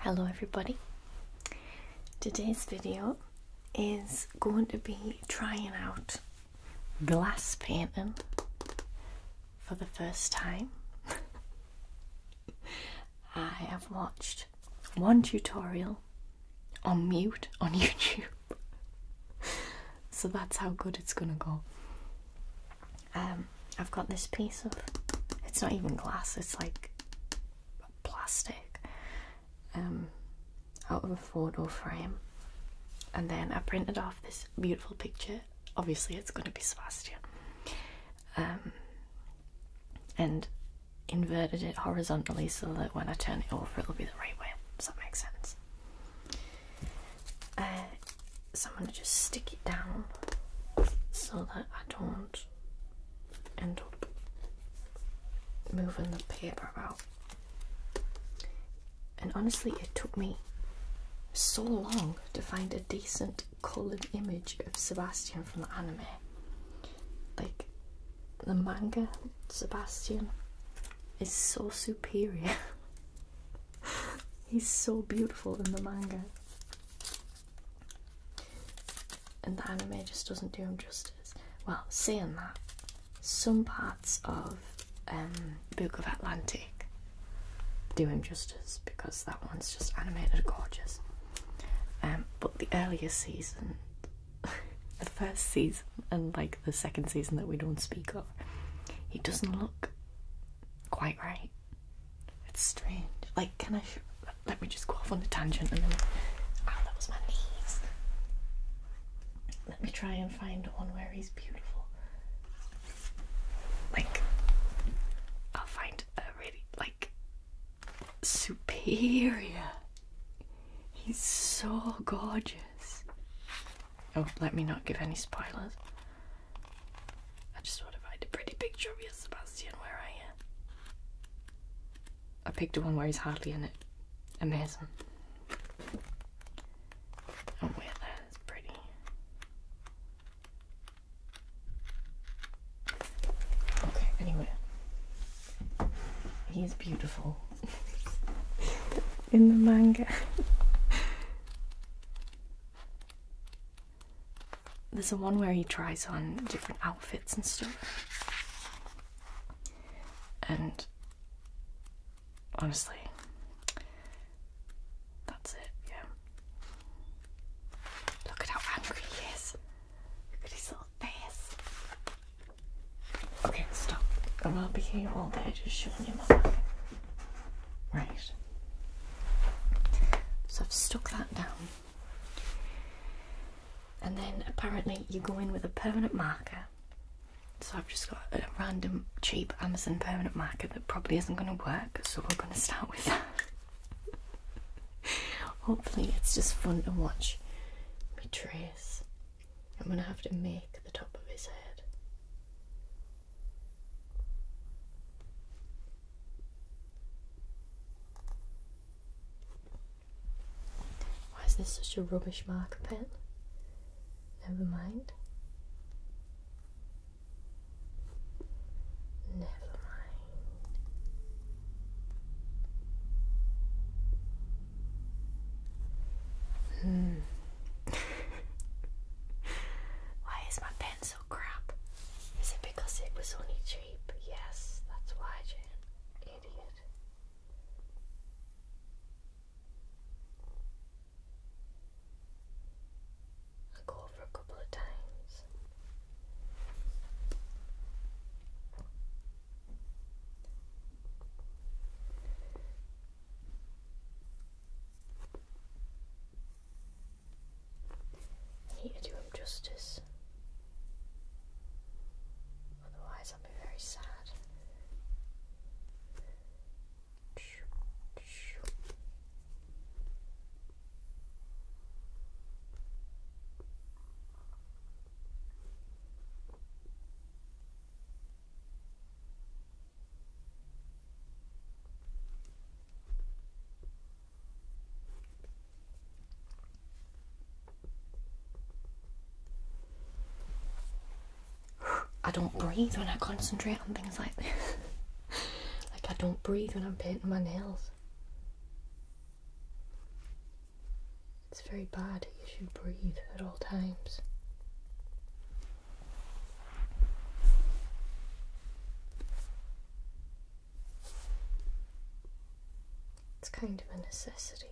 Hello everybody. Today's video is going to be trying out glass painting for the first time. I have watched one tutorial on mute on YouTube so that's how good it's gonna go. Um, I've got this piece of it's not even glass, it's like plastic um, out of a four-door frame, and then I printed off this beautiful picture. Obviously, it's gonna be Sebastian. Um, and inverted it horizontally so that when I turn it over, it'll be the right way. Does that make sense? so I'm going to just stick it down so that I don't end up moving the paper about. And honestly, it took me so long to find a decent coloured image of Sebastian from the anime. Like, the manga Sebastian is so superior He's so beautiful in the manga. And the anime just doesn't do him justice. Well, seeing that, some parts of um, Book of Atlantic do him justice because that one's just animated gorgeous. Um, but the earlier season, the first season, and like the second season that we don't speak of got. He doesn't look quite right. It's strange. Like, can I? Let me just go off on a tangent and then. Oh, that was my knees. Let me try and find one where he's beautiful. Like, I'll find a really like superior. He's so gorgeous. Oh, let me not give any spoilers. I just want to find a pretty picture of you, Sebastian. Where are you? I picked one where he's hardly in it. Amazing. Oh, wait, that is pretty. Okay, anyway. He's beautiful in the manga. There's a one where he tries on different outfits and stuff. And honestly, that's it, yeah. Look at how angry he is. Look at his little face. Okay, stop. I'm not be here all day just showing you my manga. Right. So I've stuck that down. And then apparently you go in with a permanent marker. So I've just got a random cheap Amazon permanent marker that probably isn't going to work, so we're going to start with that. Hopefully it's just fun to watch me trace I'm going to have to make the top of his head. Why is this such a rubbish marker pen? Never mind. Never mind. Hmm why is my pen so crap? Is it because it was only cheap? Yes, that's why, Jen. Idiot. I'll go over a couple of times. Here to do him justice. Otherwise, I'll be very sad. I don't breathe when I concentrate on things like this. like I don't breathe when I'm painting my nails. It's very bad. You should breathe at all times. It's kind of a necessity.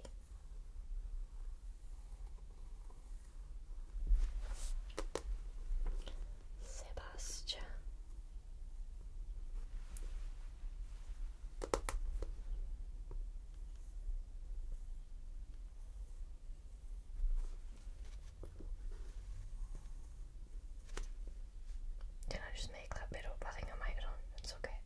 Sebastian. Can I just make that bit up? I think It's okay.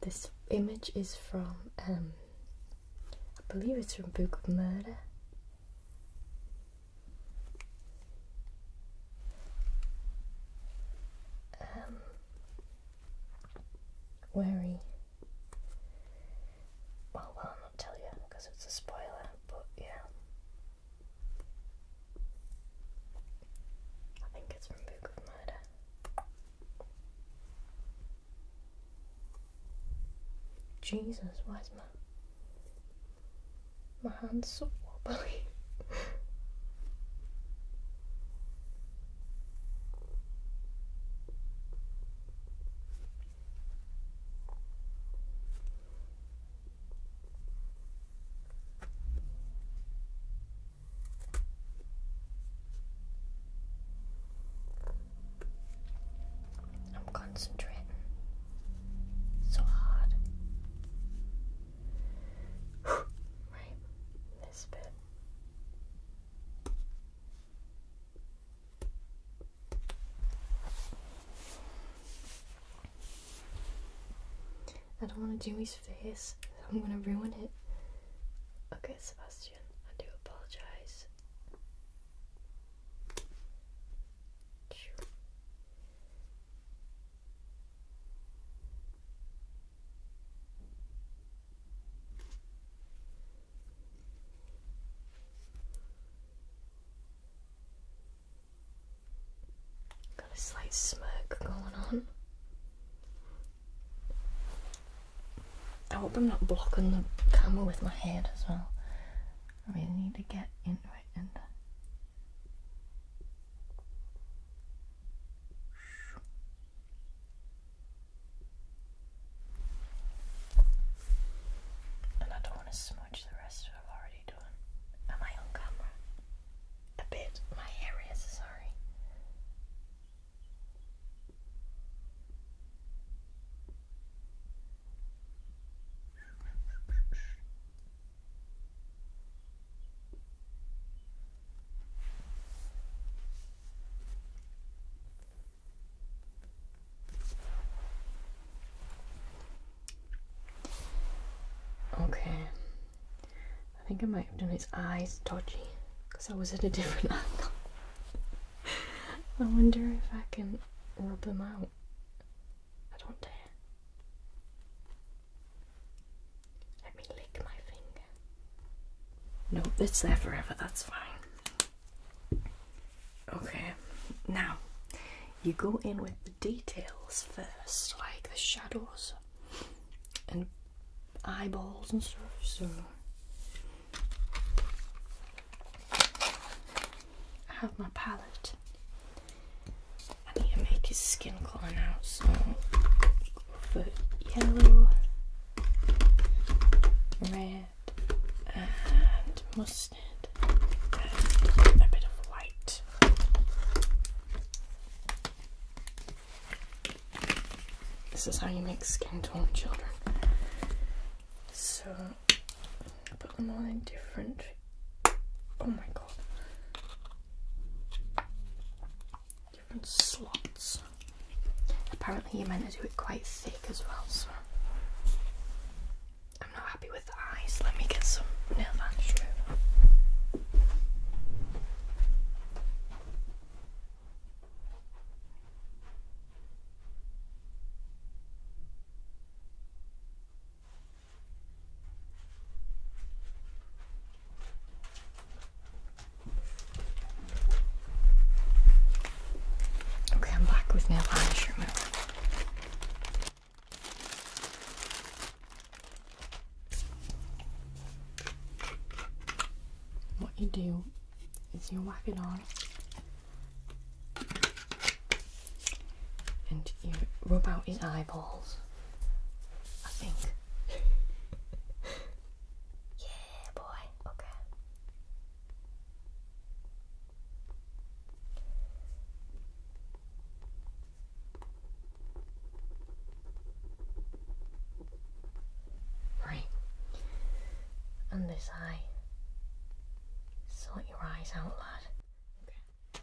this image is from, um, I believe it's from Book of Murder. Um, wary. Well, well, I'll not tell you because it's a spoiler, but yeah. I think it's from Book of Murder. Jesus, where's my my hand's so wobbly. I'm concentrating so hard. right, this bit. I don't want to do his face, I'm going to ruin it. Okay, Sebastian, I do apologize. Got a slight smirk going on. I hope I'm not blocking the camera with my head as well. I really need to get into and I don't want to smudge the rest I've already done. Am I on camera? A bit. My hair sorry. Okay, I think I might have done his eyes dodgy because I was at a different angle. I wonder if I can rub them out. I don't dare. Let me lick my finger. No, it's there forever, that's fine. Okay, now you go in with the details first, like the shadows and eyeballs and so on. so I have my palette I need to make his skin colour now, so yellow, red, and mustard, and a bit of white. This is how you make skin tone, children. So put them all in different. Oh my god. Different slots. Apparently, you're meant to do it quite thick as well, so. I'm not happy with the eyes. Let me get some nail varnish remover. Okay, I'm back with nail polish remover. What you do is you are whacking on and you rub out his eyeballs. I think. yeah, boy. Okay. Right. And this eye. Sort your eyes out, lad. Okay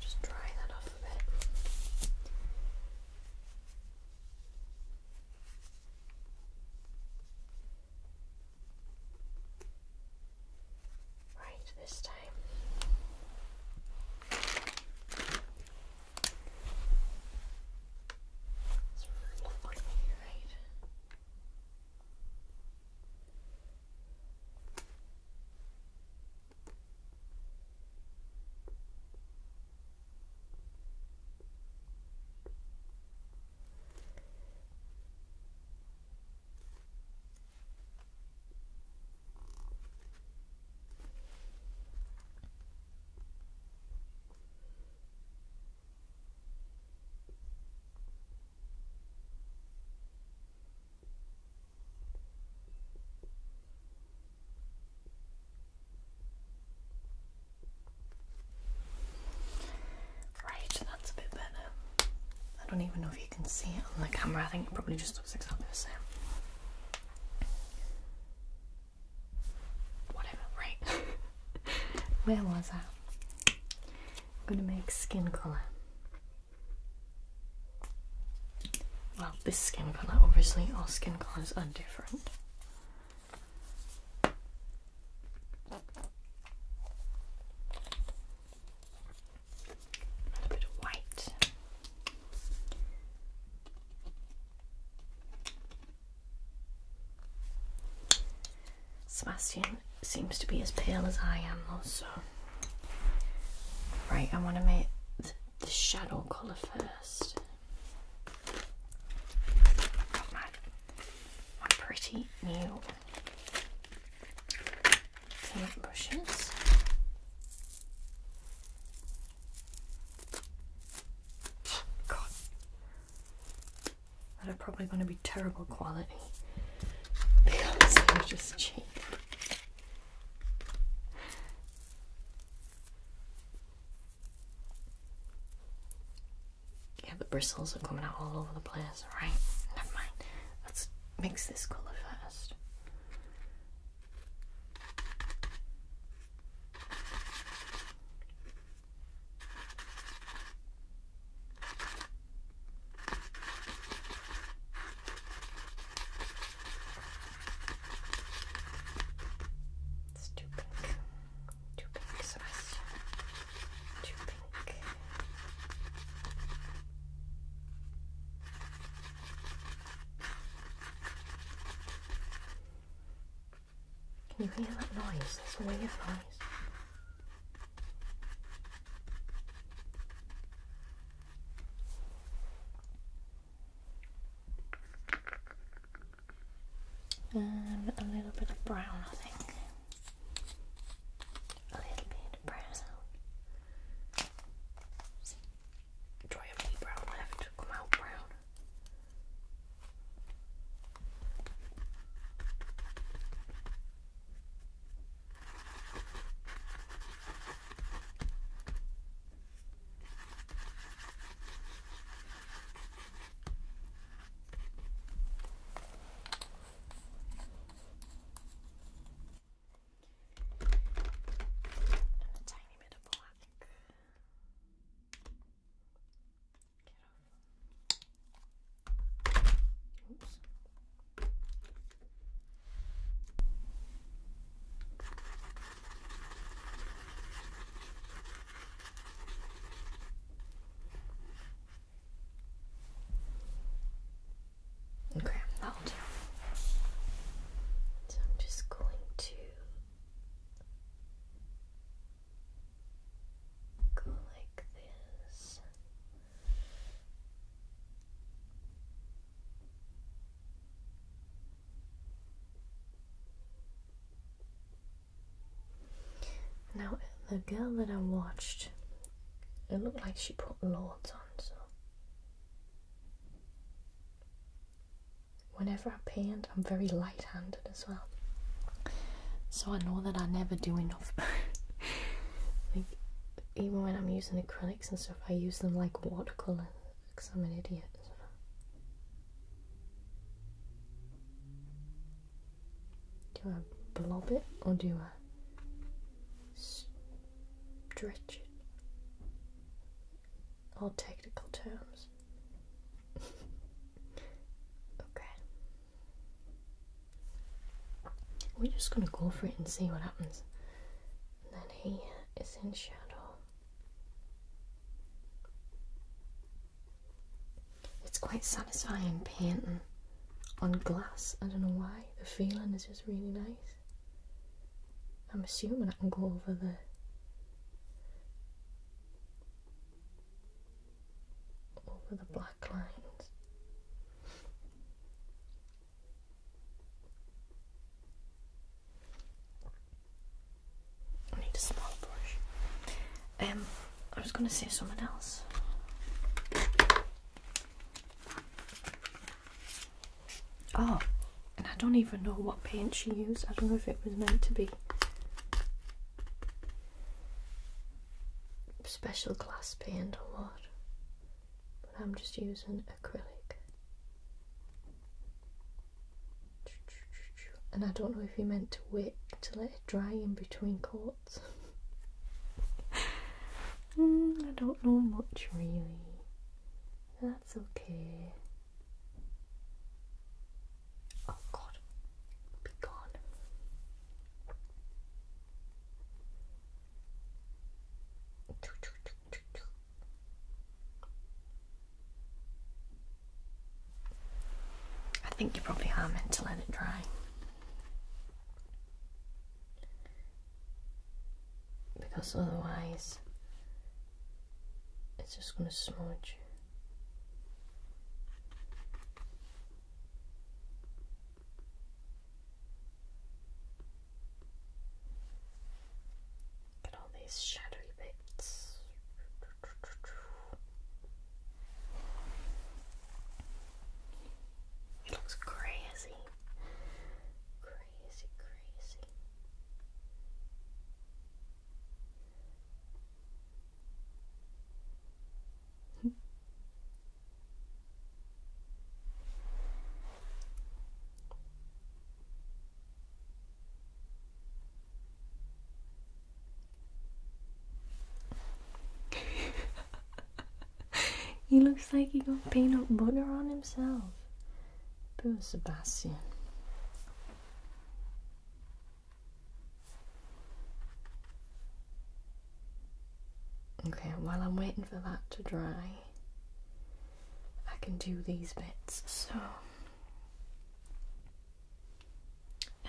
just dry that off a bit. Right, this time. It's really lovely, right? Right, that's a bit better. I don't even know if you can see it on the camera, I think it probably just looks exactly the same whatever, right? Where was I? I'm gonna make skin colour. Well, this skin colour, obviously, all skin colours are different. A bit of white. Sebastian seems to be as pale as I am, also. Right, I want to make the shadow colour first. Got my, my pretty new paint brushes. God that are probably going to be terrible quality because they're just cheap. Yeah, the bristles are coming out all over the place, right? Never mind. Let's mix this colour first. It's too pink. Too pink, Sebastian. Too pink. Can you hear that noise? That's a weird noise. And um, a little bit of brown, I think. A little bit of brown. Try a wee brown left, come out brown. And a tiny bit of Get off. Oops. Okay, that'll do. So I'm just going to go like this. Now, the girl that I watched, it looked like she put lords on, so. Whenever I paint, I'm very light handed as well. So I know that I never do enough. like, even when I'm using acrylics and stuff, I use them like watercolour because I'm an idiot. Do I blob it or do I stretch it? All technical terms okay. We're just gonna go for it and see what happens. And then he is in shadow. It's quite satisfying painting on glass. I don't know why. The feeling is just really nice. I'm assuming I can go over the over the black lines. I need a smaller brush. Um, I was going to say someone else. Oh, and I don't even know what paint she used. I don't know if it was meant to be special glass paint or what, but I'm just using acrylic. And I don't know if you meant to wait to let it dry in between coats. Hmm, I don't know much really. That's okay. Oh God, be gone. I think you probably are meant to let it dry. Because otherwise, it's just going to smudge. Look all these shadowy bits. It looks crazy. Crazy, crazy. he looks like he got peanut butter on himself. Poor Sebastian. Okay, while I'm waiting for that to dry, I can do these bits. So,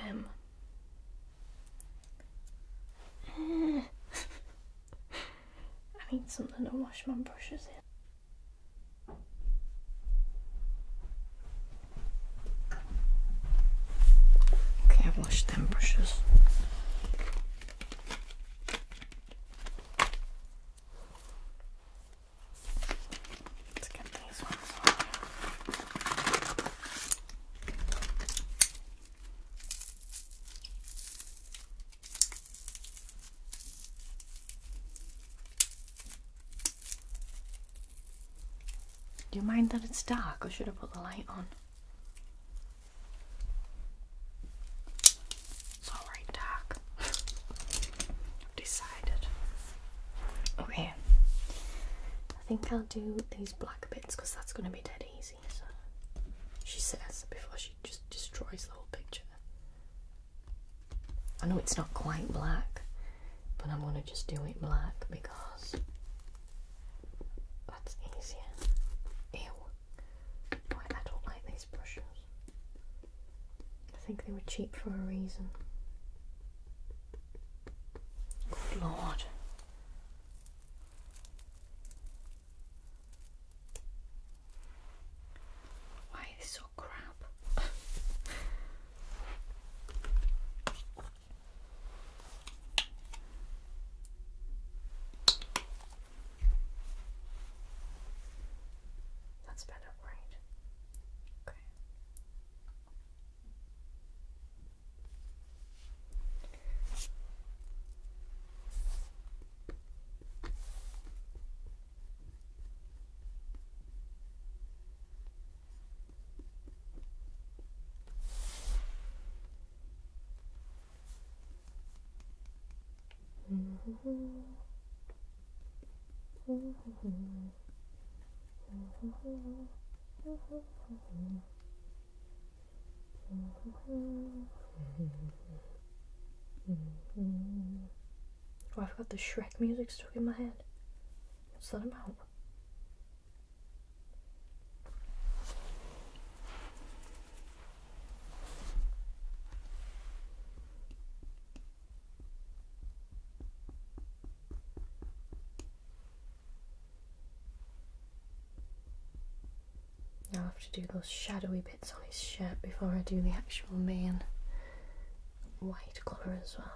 um, I need something to wash my brushes in. Okay, I've washed them brushes. Let's get these ones do you mind that it's dark or should I put the light on? It's alright dark. i decided. Okay. I think I'll do these black bits because that's going to be dead easy. She says before she just destroys the whole picture. I know it's not quite black, but I'm going to just do it black because that's easier. Ew. I don't like these brushes. I think they were cheap for a reason. Good lord. Why are they so crap? That's better, right? Okay. Oh, I've got the Shrek music stuck in my head. Let's let him out. I have to do those shadowy bits on his shirt before I do the actual main white colour as well.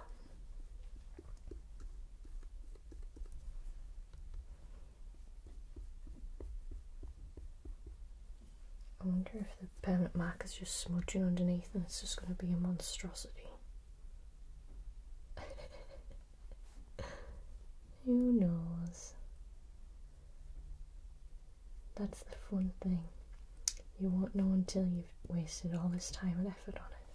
I wonder if the permanent marker's just smudging underneath and it's just going to be a monstrosity. Who knows? That's the fun thing. You won't know until you've wasted all this time and effort on it.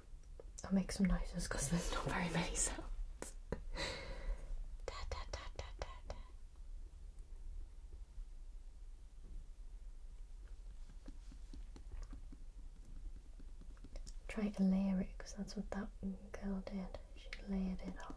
I'll make some noises because there's not very many sounds. Try to layer it because that's what that girl did. She layered it up.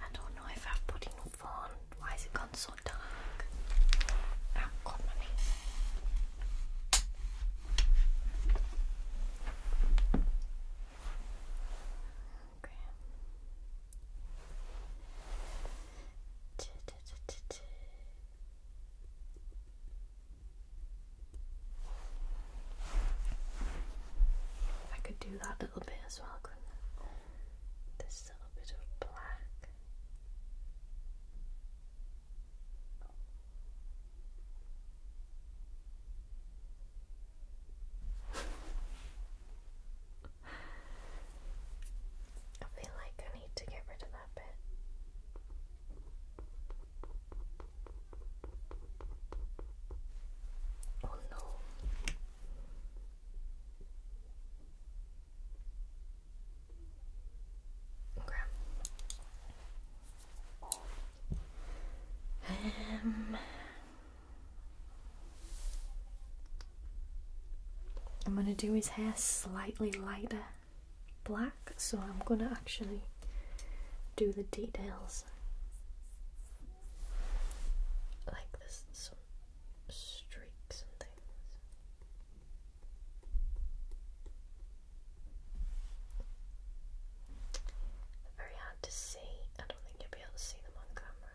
I don't know if I've put enough on. Why has it gone so dark? Oh, ah, God, money. Okay. I could do that little bit as well, This little bit of black. I feel like I need to get rid of that bit. Oh no. Okay. Um I'm going to do his hair slightly lighter black, so I'm going to actually do the details like some streaks and things. very hard to see. I don't think you'll be able to see them on camera.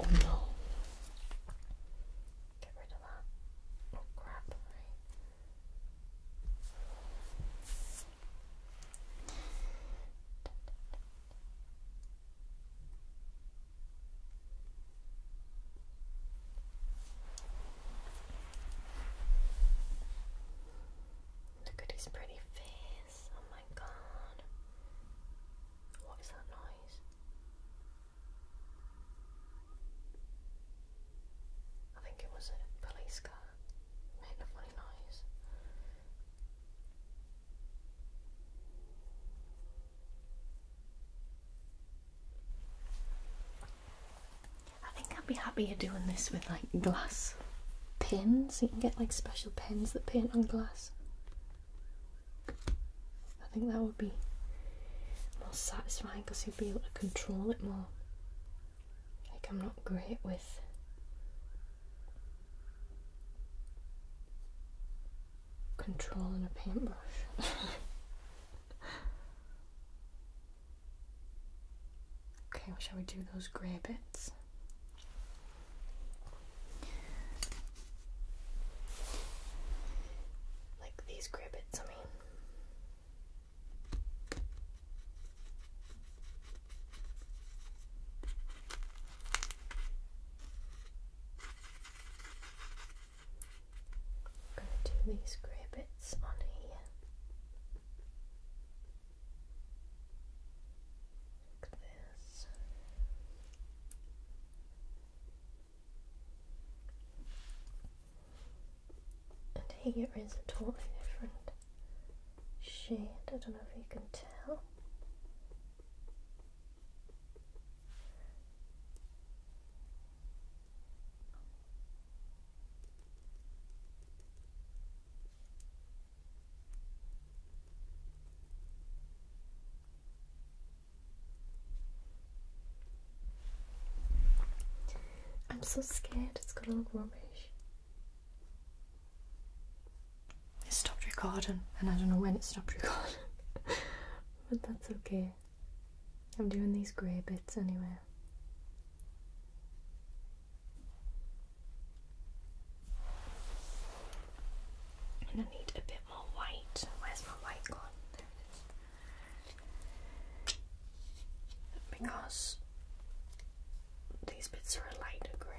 oh no. Get rid of that. Oh crap. Look at his pretty face. Oh my god. What is that noise? I think it was a police car making a funny noise. I think I'd be happier doing this with like glass pins. You can get like special pens that paint on glass. I think that would be more satisfying because you'd be able to control it more. Like I'm not great with control in a paintbrush. okay, shall we do those grey bits? Like these grey bits, I mean. I'm going to do these grey bits on here. Like this. And here is a totally different shade. I don't know if you can tell. I'm so scared it's gonna look rubbish. It stopped recording, and I don't know when it stopped recording, but that's okay. I'm doing these grey bits anyway. And I need a bit more white. Where's my white gone? Because these bits are a lighter grey.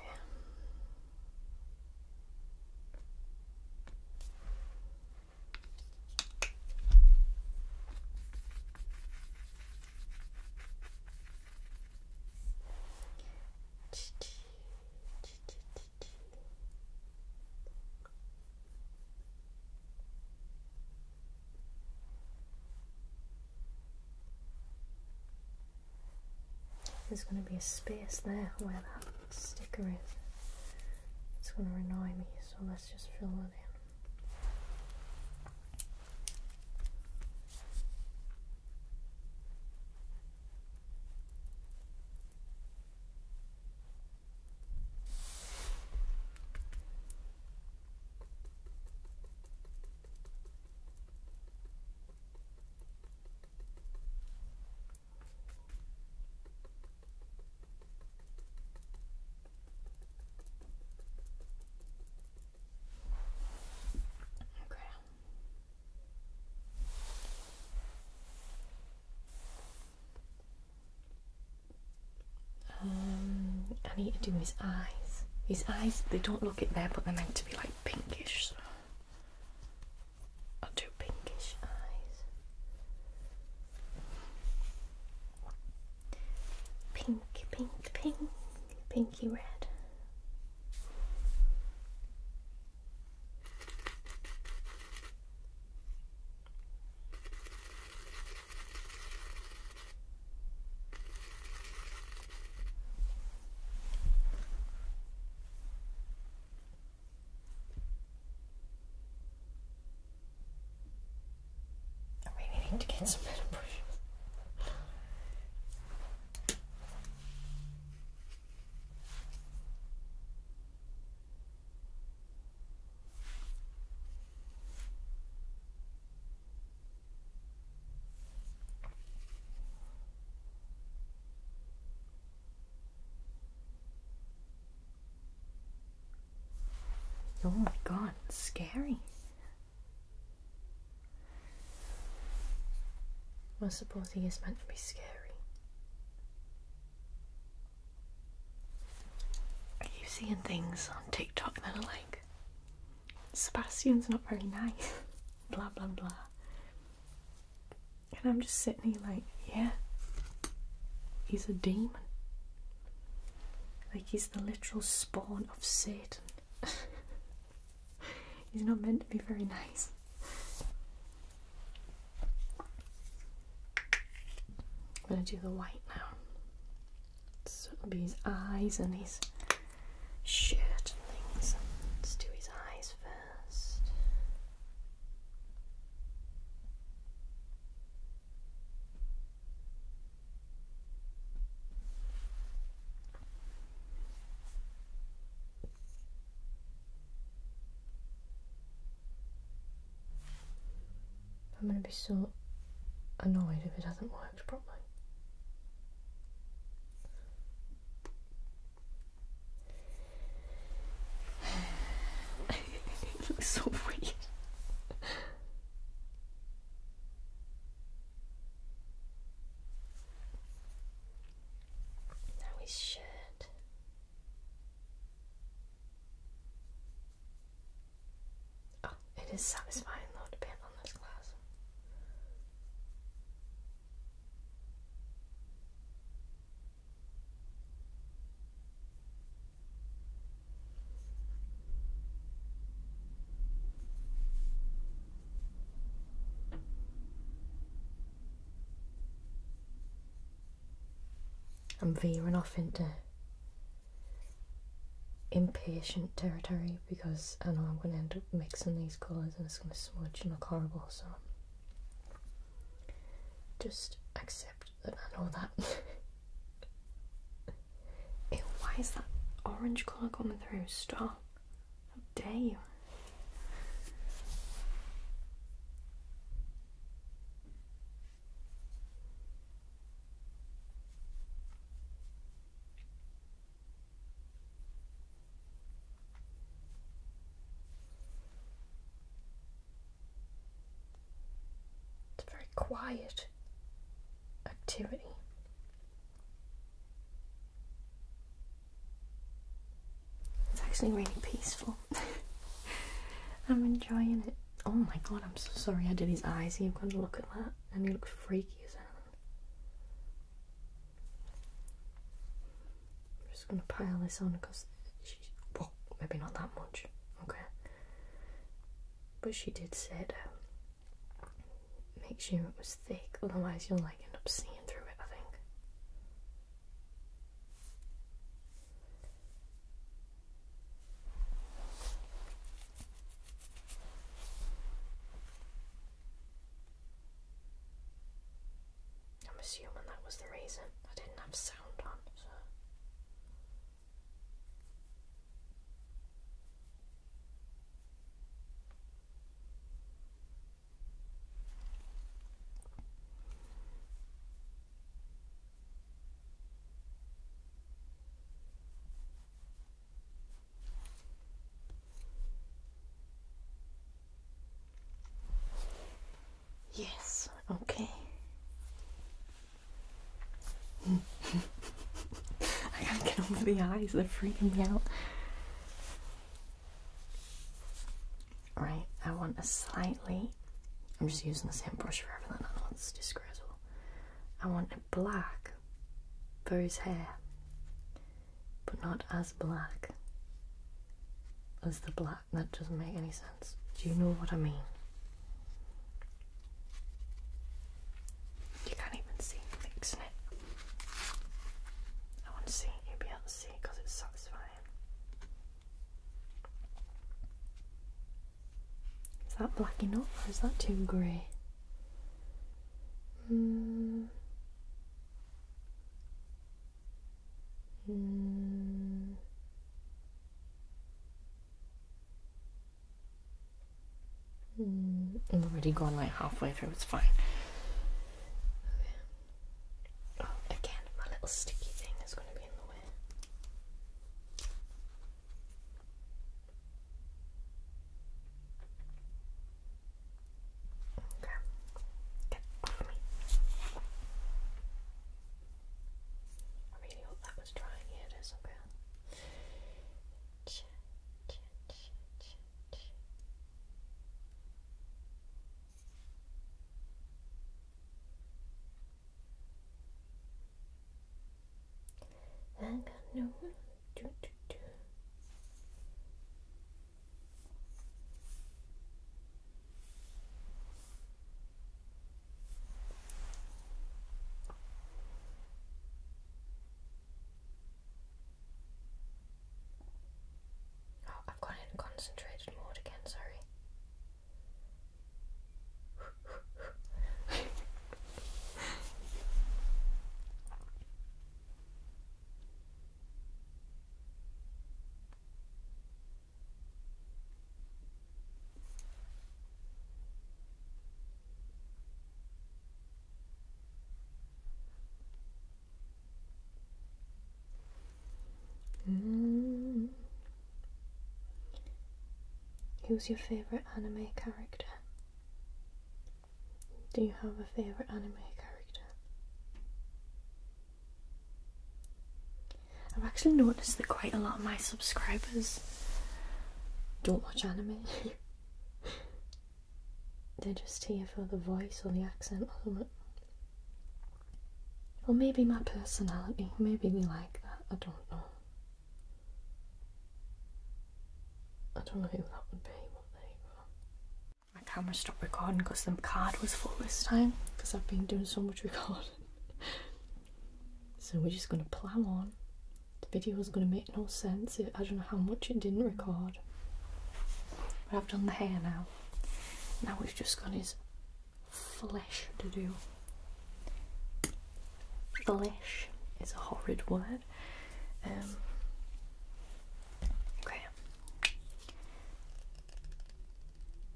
There's going to be a space there where that sticker is. It's going to annoy me, so let's just fill it in. Okay. Um, I need to do his eyes. His eyes, they don't look it there, but they're meant to be like pinkish under pinkish eyes. Pink, pink, pink, pinky red. I really need to get some better brushes. Oh my god, scary. I suppose he is meant to be scary. I keep seeing things on TikTok that are like, Sebastian's not very nice, blah blah blah. And I'm just sitting here like, yeah, he's a demon. Like, he's the literal spawn of Satan. he's not meant to be very nice. I'm gonna do the white now. So it'll be his eyes and his shirt things. Let's do his eyes first. I'm going to be so annoyed if it hasn't worked properly. it looks so weird. Now his shirt. Oh, it is satisfying though to paint on this glass. I'm veering off into impatient territory because I know I'm going to end up mixing these colours and it's going to smudge and look horrible so just accept and all that. why is that orange colour coming through? Stop. How dare you? It's a very quiet activity. It's actually really peaceful. I'm enjoying it. Oh my god, I'm so sorry I did his eyes. You've got to look at that. And he looks freaky as hell. I'm just going to pile this on because she, maybe not that much, okay? But she did say to make sure it was thick, otherwise you'll like end up seeing through it, I think. I'm assuming that was the reason. I didn't have sound on, Yes, okay. I gotta get over the eyes, they're freaking me out. Right, I want a slightly. I'm just using the same brush for everything, I know it's disgraceful. I want a black for his hair, but not as black as the black that doesn't make any sense. Do you know what I mean? You can't even see me it. I want to see you be able to see because it's satisfying. Is that black enough or is that too grey? Mm. I'm hmm. hmm. hmm. already gone like halfway through, it's fine. Okay. Oh, again, my little sticky thing is going to be in the way. Okay. Get off me. I really hope that was drying. Yeah, it is. Okay. I got no Do, do, do. Oh, I've gone in concentrated mode again, sorry. Mm. Who's your favourite anime character? Do you have a favourite anime character? I've actually noticed that quite a lot of my subscribers don't watch anime. They're just here for the voice or the accent or maybe my personality. Maybe they like that. I don't know. I don't know who that would be, My camera stopped recording because the card was full this time because I've been doing so much recording. so we're just going to plow on. The video is going to make no sense. I don't know how much it didn't record. But I've done the hair now. Now we've just got his flesh to do. Flesh is a horrid word. Um, okay.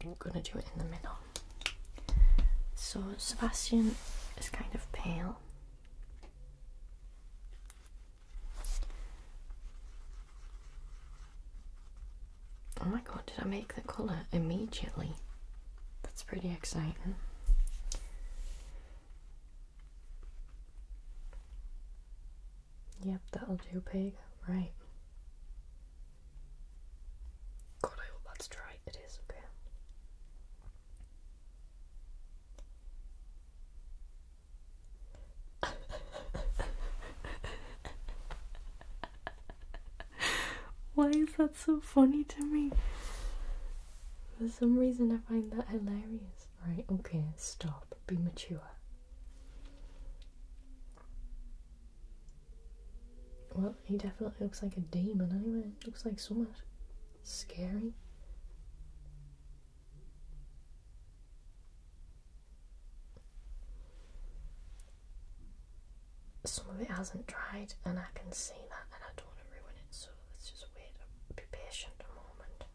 I'm going to do it in the middle. So Sebastian is kind of pale. Oh my god, did I make the colour immediately? That's pretty exciting. Yep, that'll do, pig. Right. God, I hope that's dry. It is okay. Why is that so funny to me? For some reason, I find that hilarious. Right, okay, stop, be mature. Well, he definitely looks like a demon anyway. Looks like so much scary. Some of it hasn't dried, and I can see that, and I don't want to ruin it, so let's just wait. Be patient a moment.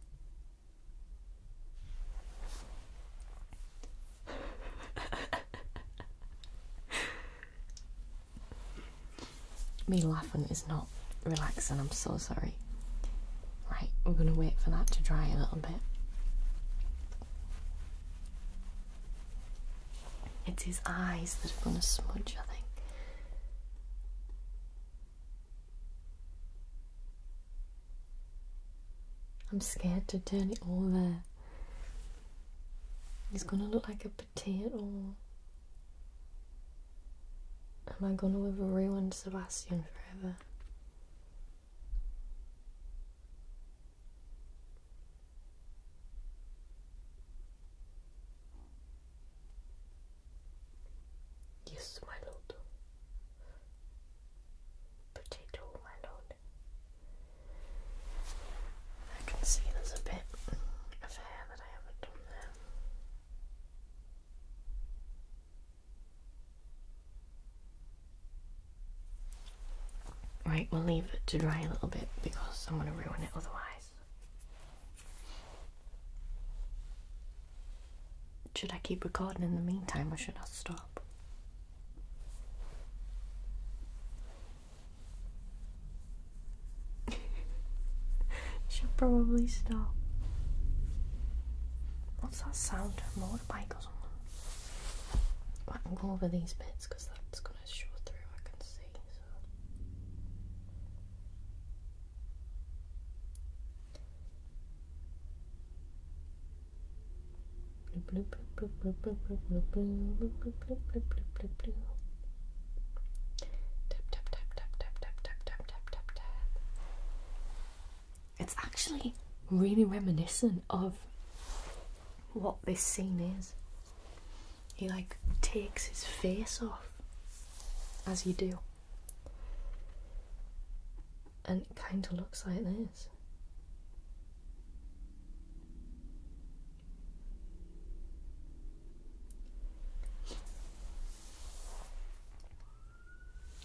Me laughing is not relaxing, I'm so sorry. Right, we're going to wait for that to dry a little bit. It's his eyes that are going to smudge, I think. I'm scared to turn it over. He's gonna look like a potato. Am I gonna live have ruined Sebastian forever? Yes, my lord. Potato, my lord. I can see there's a bit of hair that I haven't done there. Right, we'll leave it to dry a little bit because I'm going to ruin it otherwise. Should I keep recording in the meantime or should I stop? She'll probably stop. What's that sound? A motorbike or something? I can go over these bits because that's gonna show through. I can see. Tap tap tap tap tap tap tap tap tap tap. It's actually really reminiscent of what this scene is. He like takes his face off as you do. And it kind of looks like this.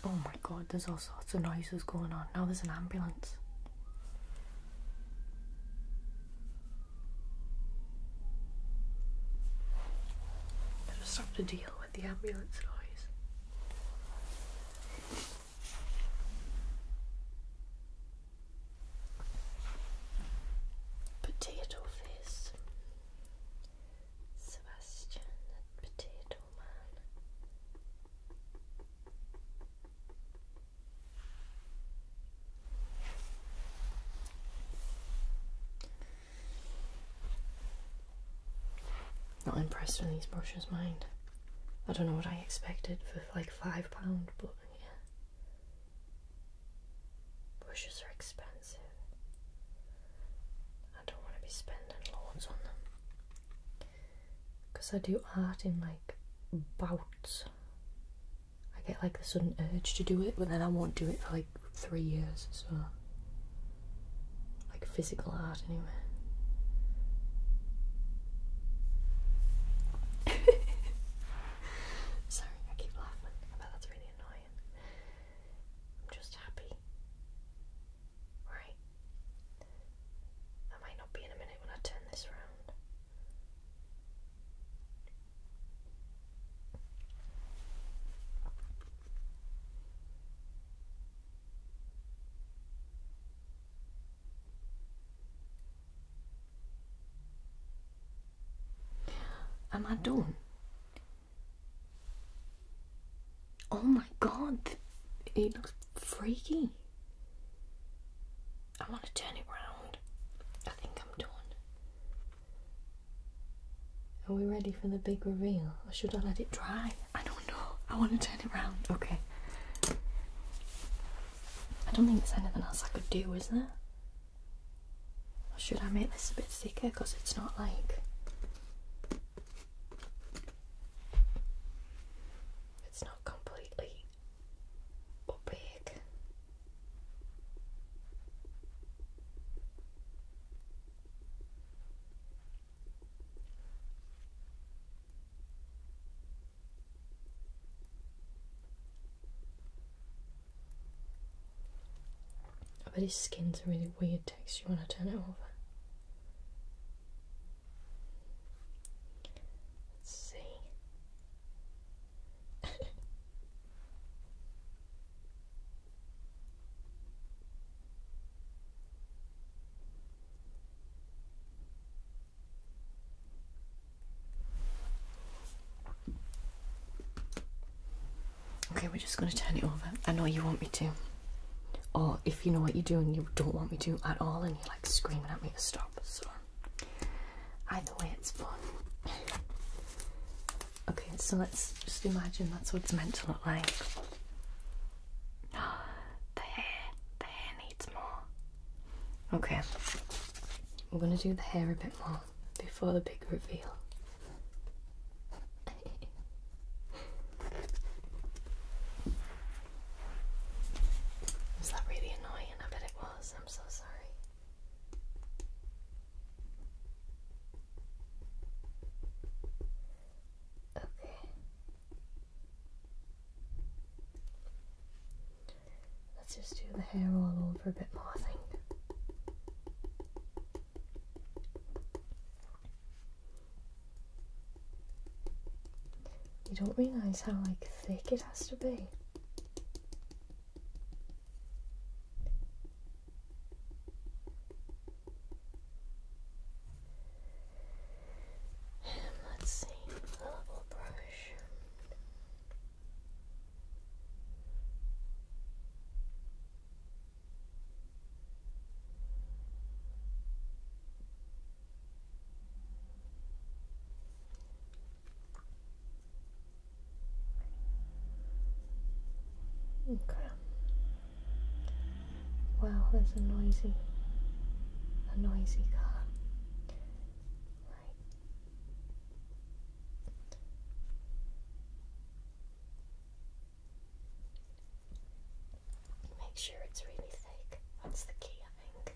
Oh my god, there's all sorts of noises going on. Now there's an ambulance. I just have to deal with the ambulance noise. Potato face, Sebastian the Potato Man. Not impressed with these brushes, mind. I don't know what I expected for like five pound, but yeah. Brushes are expensive. I don't want to be spending loads on them. Because I do art in like bouts. I get like a sudden urge to do it, but then I won't do it for like three years, so. Like physical art anyway. Sorry, I keep laughing. I bet that's really annoying. I'm just happy. Right. I might not be in a minute when I turn this round. Am I done? Oh my god, it looks freaky. I want to turn it round. I think I'm done. Are we ready for the big reveal or should I let it dry? I don't know. I want to turn it round. Okay. I don't think there's anything else I could do, is there? Or should I make this a bit thicker because it's not like it's not completely opaque. I bet his skin's a really weird texture when I turn it over. Let's see. Okay, we're just going to turn it over. I know you want me to. Or if you know what you're doing, you don't want me to at all, and you're like screaming at me to stop. So, either way, it's fun. Okay, so let's just imagine that's what it's meant to look like. the hair, the hair needs more. Okay, we're gonna do the hair a bit more before the big reveal. was that really annoying? I bet it was. I'm so sorry. Okay. Let's just do the hair all over a bit more, I think. You don't realise how like thick it has to be. And let's see, level brush. Okay. Wow, that's a noisy, a noisy car. Make sure it's really thick. That's the key, I think.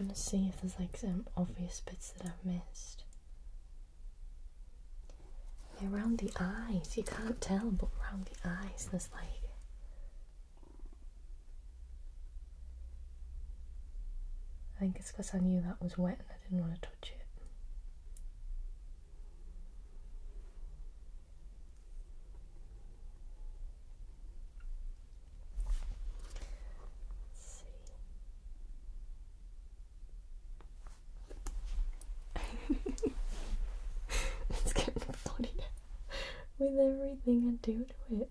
I'm gonna see if there's like some obvious bits that I've missed. Yeah, around the eyes, you can't tell, but around the eyes there's like I think it's because I knew that was wet and I didn't want to touch it. it's getting funny with everything I do to it.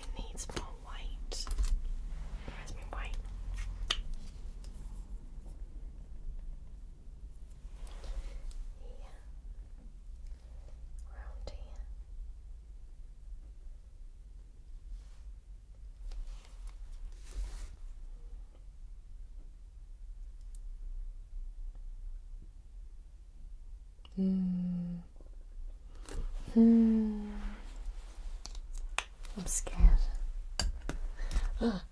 It needs more white. Where's white? Here. Around here. Mm. Mm. I'm scared. Ah.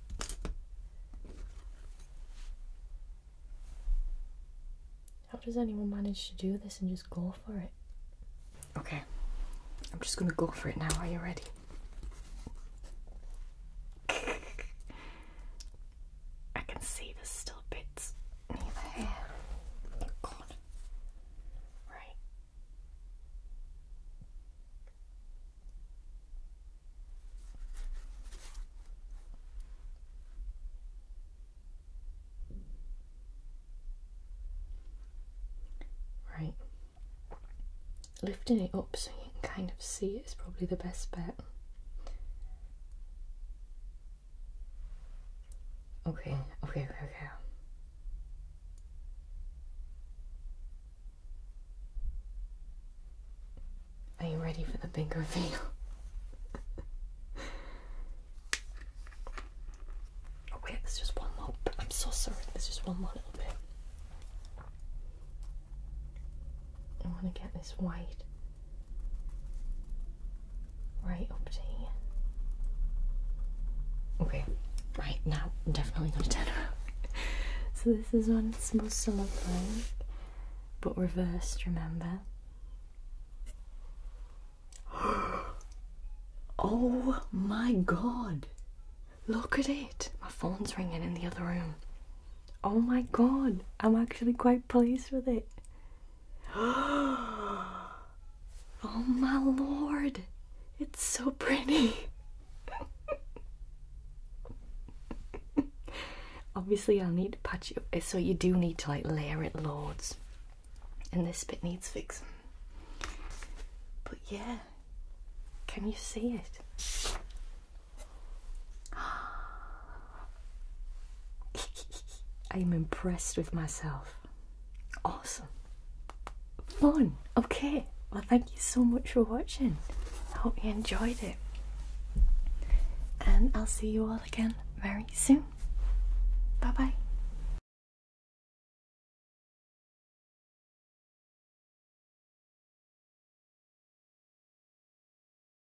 How does anyone manage to do this and just go for it? Okay, I'm just gonna go for it now. Are you ready? I can see there's still bits near the Oh God. Right. Right. Lifting it up so you can kind of see it is probably the best bet. Okay, okay, okay, okay. Are you ready for the big reveal? oh there's just one more. I'm so sorry. There's just one more little bit. I want to get this white right up Okay, right now I'm definitely gonna turn around. so this is what it's supposed to look like, but reversed, remember? oh my god! Look at it! My phone's ringing in the other room. Oh my god, I'm actually quite pleased with it. oh my lord, it's so pretty. Obviously, I'll need to patch it so you do need to like layer it lords. and this bit needs fixing. But yeah, can you see it? I'm impressed with myself. Awesome. Fun. Okay. Well, thank you so much for watching. I hope you enjoyed it. And I'll see you all again very soon. Bye bye.